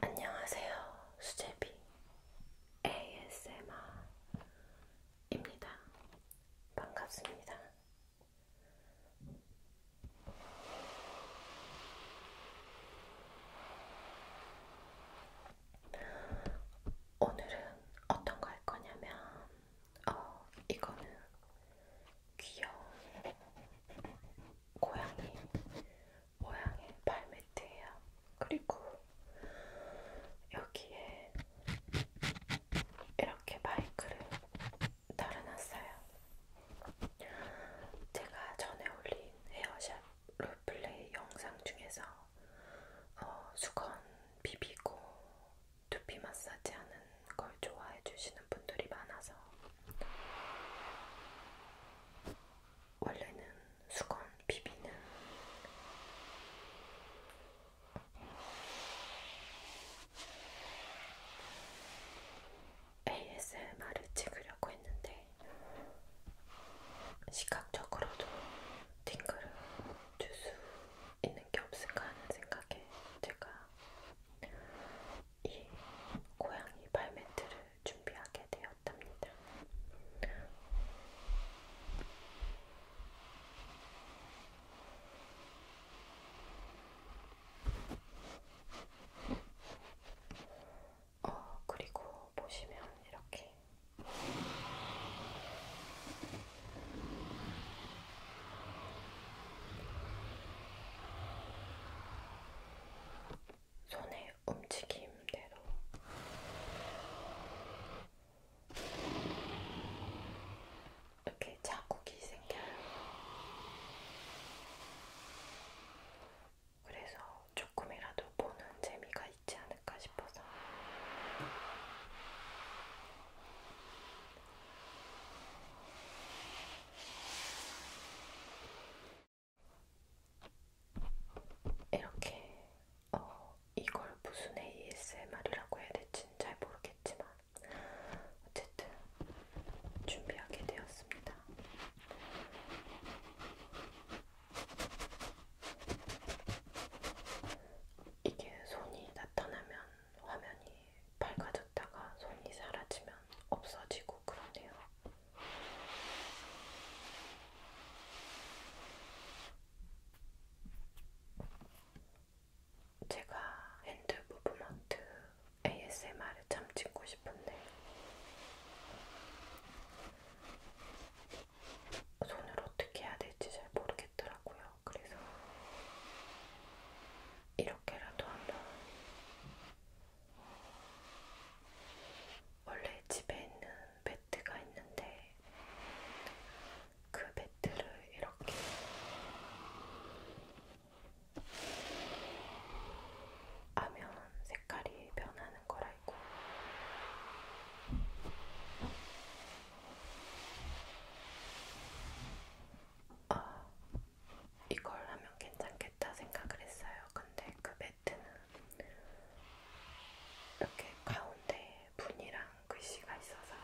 안녕하세요. 수제비 ASMR입니다. 반갑습니다. 오늘은 어떤 거할 거냐면, 어, 이거는 귀여운 고양이 모양의 발매트예요. 그리고 여기에 이렇게 마이크를 달아놨어요. 제가 전에 올린 헤어샵 롤플레이 영상 중에서 어, 수건 비비고 두피 마사지 하는 걸 좋아해 주시는 분들이 많아서 원래는 수건 비비는 ASMR을 찍으려고 했는데 시각적으로도 팅글을 줄 수 있는 게 없을까 하는 생각에 제가 이 고양이 발매트를 준비하게 되었답니다. 어, 그리고 보시면 이렇게 손의 움직임대로 이렇게 자국이 생겨요. 그래서 조금이라도 보는 재미가 있지 않을까 싶어서 이렇게 어, 이걸 무슨 ASMR이라고 해야 될지는 잘 모르겠지만 어쨌든 준비하게 되었습니다. 이게 손이 나타나면 화면이 밝아졌다가 손이 사라지면 없어지고 그러네요. 제가 핸드 무브먼트 ASMR을 참 찍고 싶은데 손을 어떻게 해야 될지 잘 모르겠더라고요. 그래서 이런 이렇게라도 한번 원래 집에 있는 매트가 있는데 그 매트를 이렇게 하면 색깔이 변하는 걸 알고 어, 이걸 하면 괜찮겠다 생각을 했어요. 근데 그 매트는 이렇게 가운데 분이랑 글씨가 있어서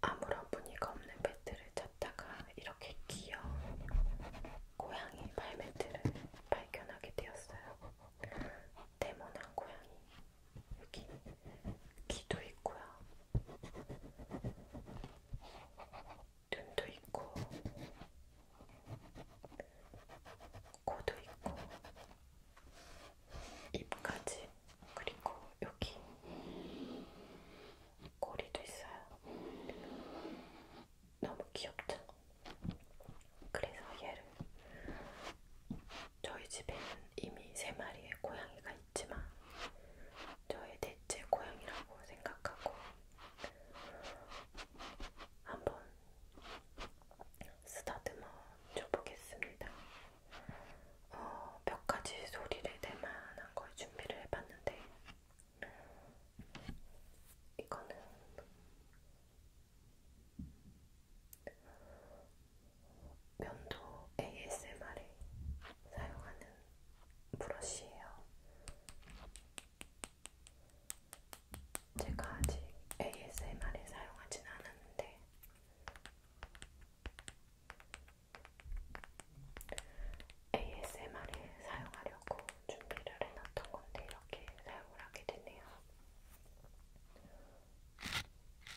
아무런 분위가 없는 매트를 찾다가 이렇게 귀여운 고양이 발매트를 발견하게 되었어요. 데모난 고양이. 여기 귀도 있고요. 눈도 있고, 코도 있고, 입까지, 그리고 여기 꼬리도 있어요. 너무 귀엽죠? 그래서 얘를 저희 집에 있는 이미 세 마리의 고양이가 있지만 저의 대체 고양이라고 생각하고 한번 쓰다듬어 줘보겠습니다. 어, 몇 가지 소리를 낼 만한 걸 준비를 해봤는데 이거는 면도 ASMR에 사용하는 브러쉬예요. 제가 아직 ASMR에 사용하진 않았는데 ASMR에 사용하려고 준비를 해놨던 건데 이렇게 사용을 하게 되네요.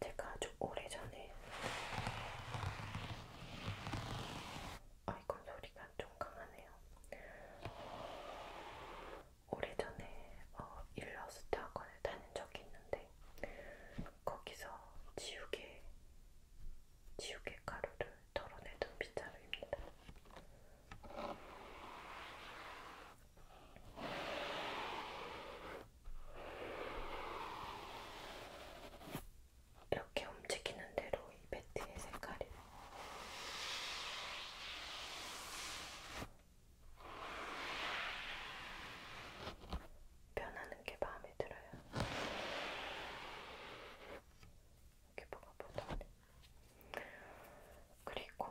제가 아주 오래전에 아이콘 소리가 좀 강하네요. 오래전에 어, 일러스트 학원을 다닌 적이 있는데 거기서 지우개 지우개 가루를 덜어내던 빗자루입니다. 이렇게 움직이는 대로 이 배트의 색깔이 변하는 게 마음에 들어요. 이렇게 뭐가 보더니 그리고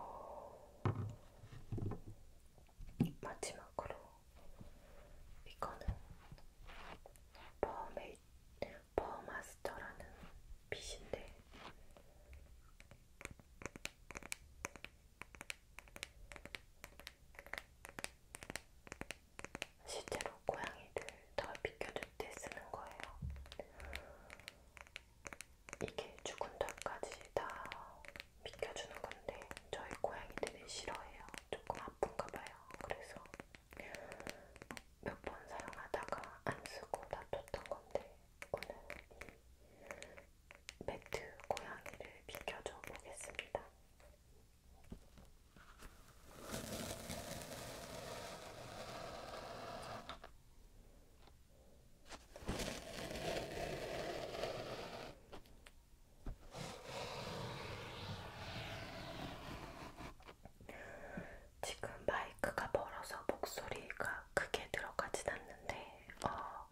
마지막으로 이거는 버메이, 버마스터라는 빛인데 실제로 고양이들 덜 비켜줄 때 쓰는 거예요. 이게 죽은 털까지 다 비켜주는 건데 저희 고양이들이 싫어해요. 조금 아픈가 봐요. 그래서 몇 번 사용하다가 안 쓰고 놔뒀던 건데 오늘 이 매트 고양이를 비켜줘 보겠습니다. 지금 마이크가 멀어서 목소리가 크게 들어가진 않는데 어,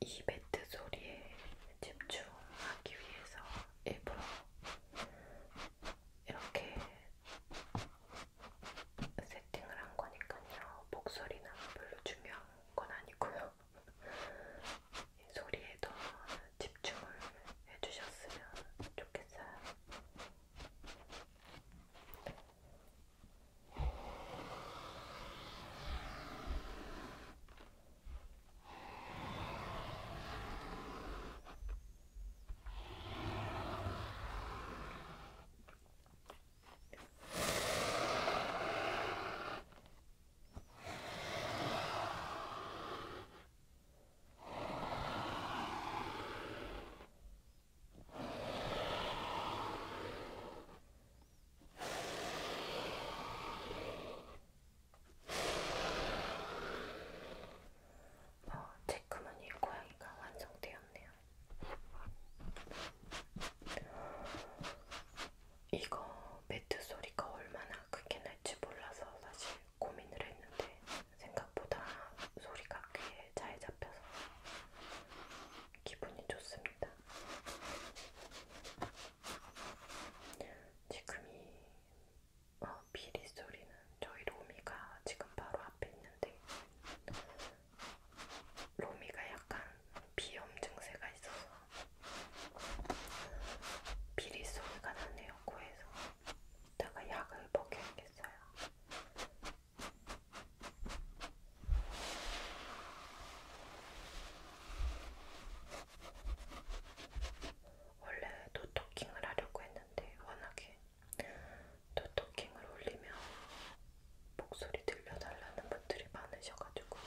이 매트 소리에 집중하기 위해서 일부러 이렇게 세팅을 한 거니까요. 목소리는 별로 중요한 건 아니고요. 이 소리에 더 집중을 해주셨으면 좋겠어요. 어, 체크무늬 고양이가 완성되었네요. 이거 매트 소리가 얼마나 크게 날지 몰라서 사실 고민을 했는데 생각보다 소리가 귀에 잘 잡혀서 기분이 좋습니다. 지금이 어, 비리 소리는 저희 로미가 지금 바로 앞에 있는데 로미가 약간 비염 증세가 있어서 비리 소리가 나네요 코에서. 이따가 약을 먹여야겠어요. 원래 노토킹을 하려고 했는데 워낙에 노토킹을 올리면 목소리 들려달라는 분들이 많으셔가지고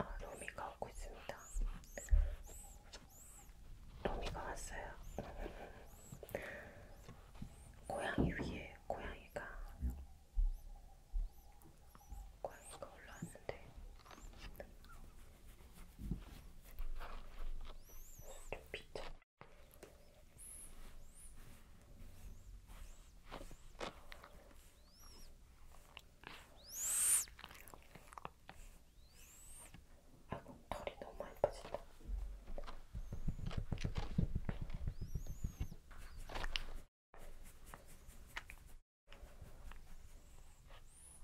아, 로미가 오고 있습니다. 도미가 왔어요. 고양이 위에 고양이가 고양이가 올라왔는데 좀 비쳐. 아이고, 털이 너무 예뻐진다.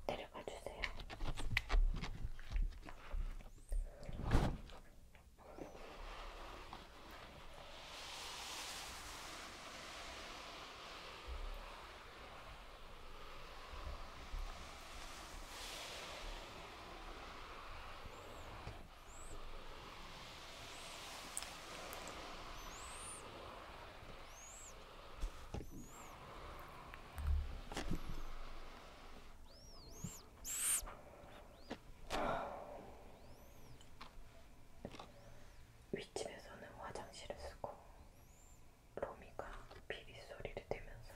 내려가 주세요. 윗집에서는 화장실을 쓰고 로미가 비비 소리를 내면서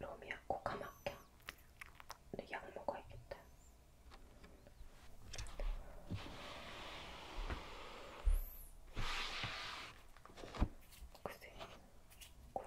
로미야 코가 막혀. 내약 먹어야겠다. 글쎄, 고양이 털.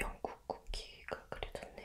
영국 쿠키가 그려졌네요.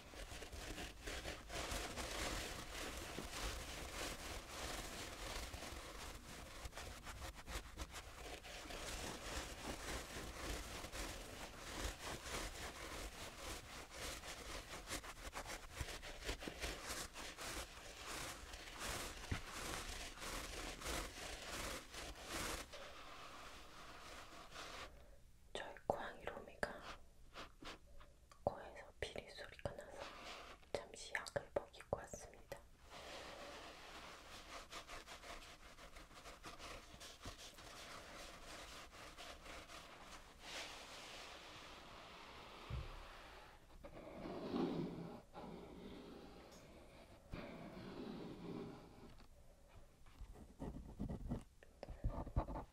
저희 고양이 로미가 코에서 비리 소리가 나서 잠시 약을 먹이고 왔습니다.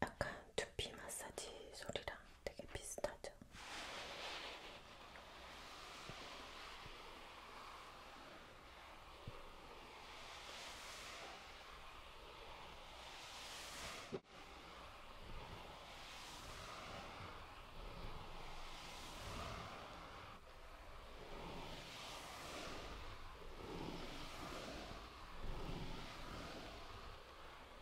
약간 두피 마사지 소리랑 되게 비슷하죠?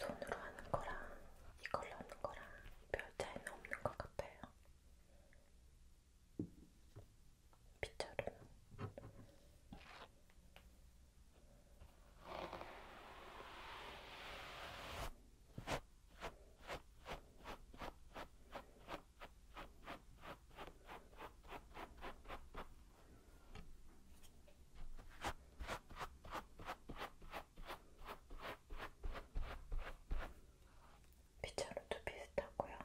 손으로 하는 거랑 이걸로 하는 거랑 별 차이는 없는 것 같아요. 빗자루는 피자로도 비슷하고요.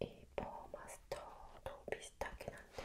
이 버마스터도 비슷하긴 한데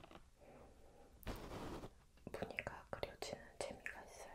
보니까 그려지는 재미가 있어요.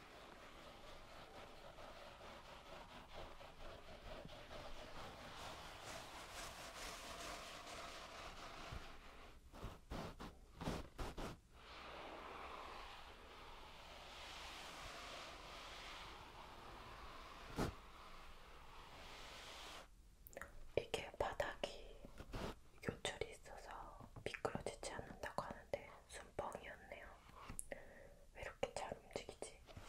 이게 바닥이 요철이 있어서 미끄러지지 않는다고 하는데 순뻥이었네요. 이렇게 잘 움직이지? 음.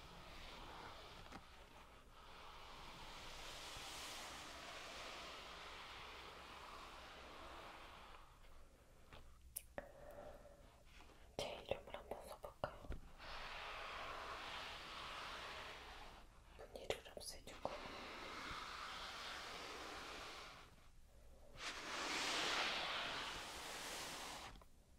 제 이름을 한번 써볼까요? 분위를 없애주고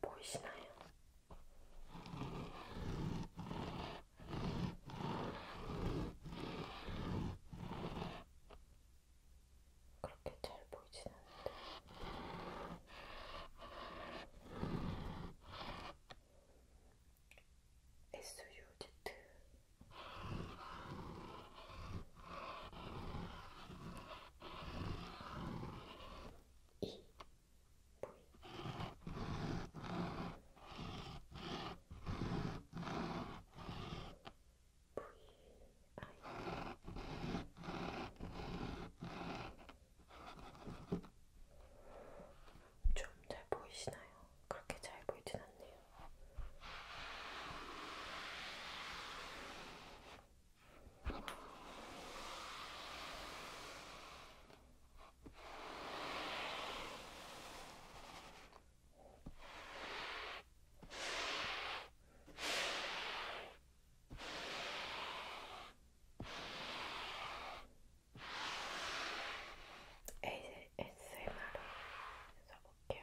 보이시나요? 그렇게 잘 보이진 않는데 SUZ 이 좀잘 보이시나요? 그렇게 잘 보이진 않네요. ASMR을 써볼게요.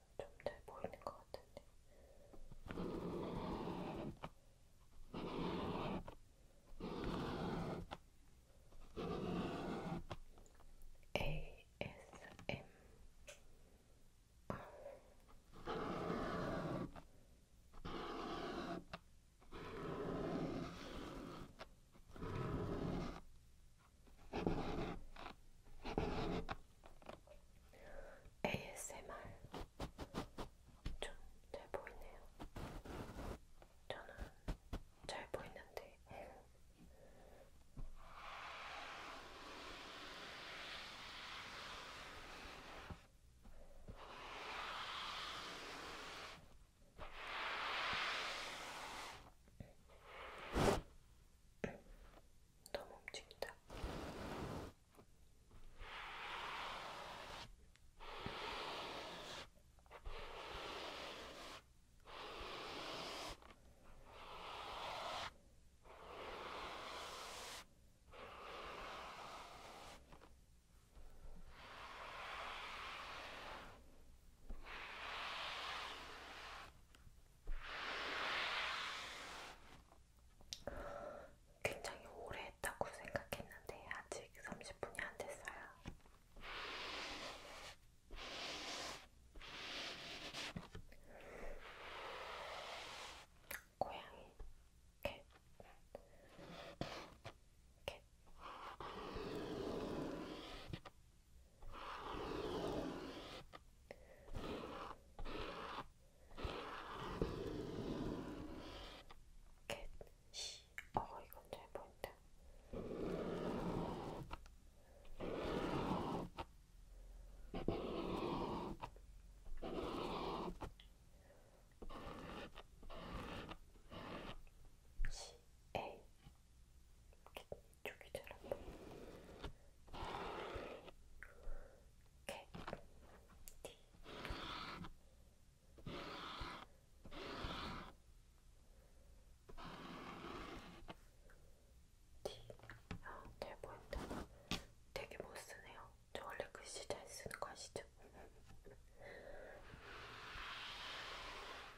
좀잘 보이는 것 같은데. ASM ASMR 좀 잘 보이네요. 저는 잘 보이는데. 너무 움직인다. 굉장히 오래 했다고 생각했는데 아직 30분이 안 됐어요. 고양이 캣. 캣. 캣, 시, 어, 이건 잘 보인다. C A 이쪽이 잘안 보여. 개, 티. 티. 아, 잘 보인다. 되게 못 쓰네요. 저 원래 글씨 잘 쓰는 거 아시죠? 간질간질간질간질간질간질간질간질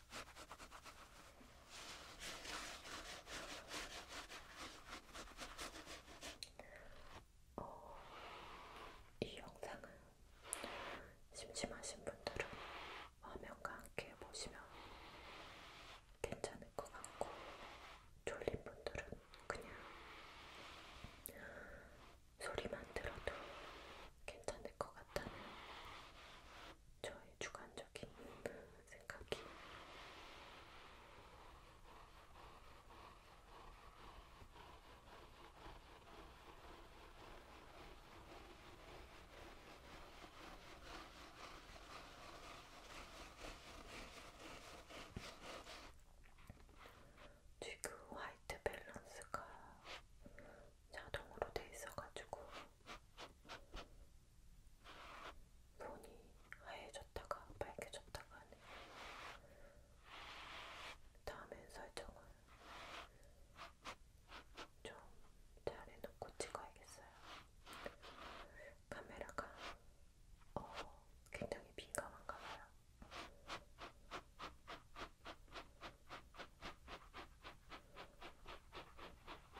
어, 이 영상은 심심하신 분들은 화면과 함께 보시면 괜찮을 것 같고 졸린 분들은 그냥 소리만 들어도 괜찮을 것 같다는 저의 주관적인 생각이 지금 화이트 밸런스가 자동으로 돼 있어가지고 손이 하얘졌다가 밝게졌다가 하네요. 다음엔 설정을 좀잘 해놓고 찍어야겠어요. 카메라가 어, 굉장히 민감한가 봐요.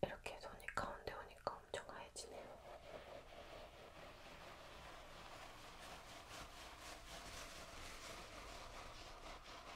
이렇게 손이 가운데 오니까 엄청 하얘지네요.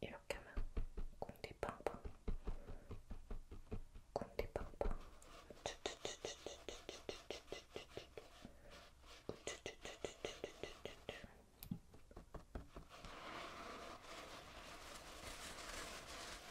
이렇게 하면 공디팡팡 공디팡팡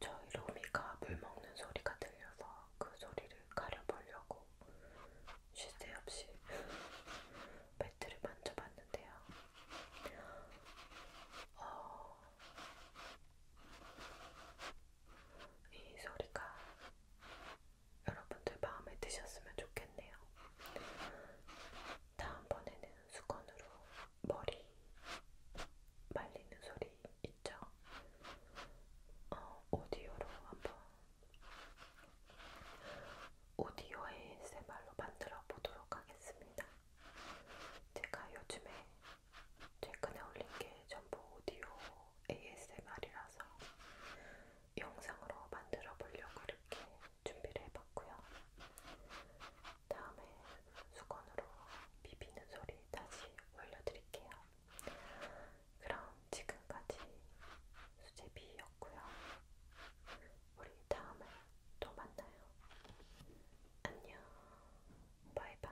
저희 로미가 물 먹는 소리가 들려서 그 소리를 가려보려고 쉴 새 없이 매트를 만져봤는데요. 어... 이 소리가 여러분들 마음에 드셨으면 좋겠네요. 다음번에는 수건으로 머리 말리는 소리 있죠? 어, 오디오로 한번 오디오 ASMR로 만들어 보도록 하겠습니다. 제가 요즘에 최근에 올린 게 전부 오디오 ASMR이라서 영상으로 만들어 보려고 이렇게 준비를 해봤고요. 다음에 수건으로 비비는 소리 다시 올려드릴게요. 그럼 지금까지 수제비였고요. 우리 다음에 또 만나요. 안녕. 바이바이.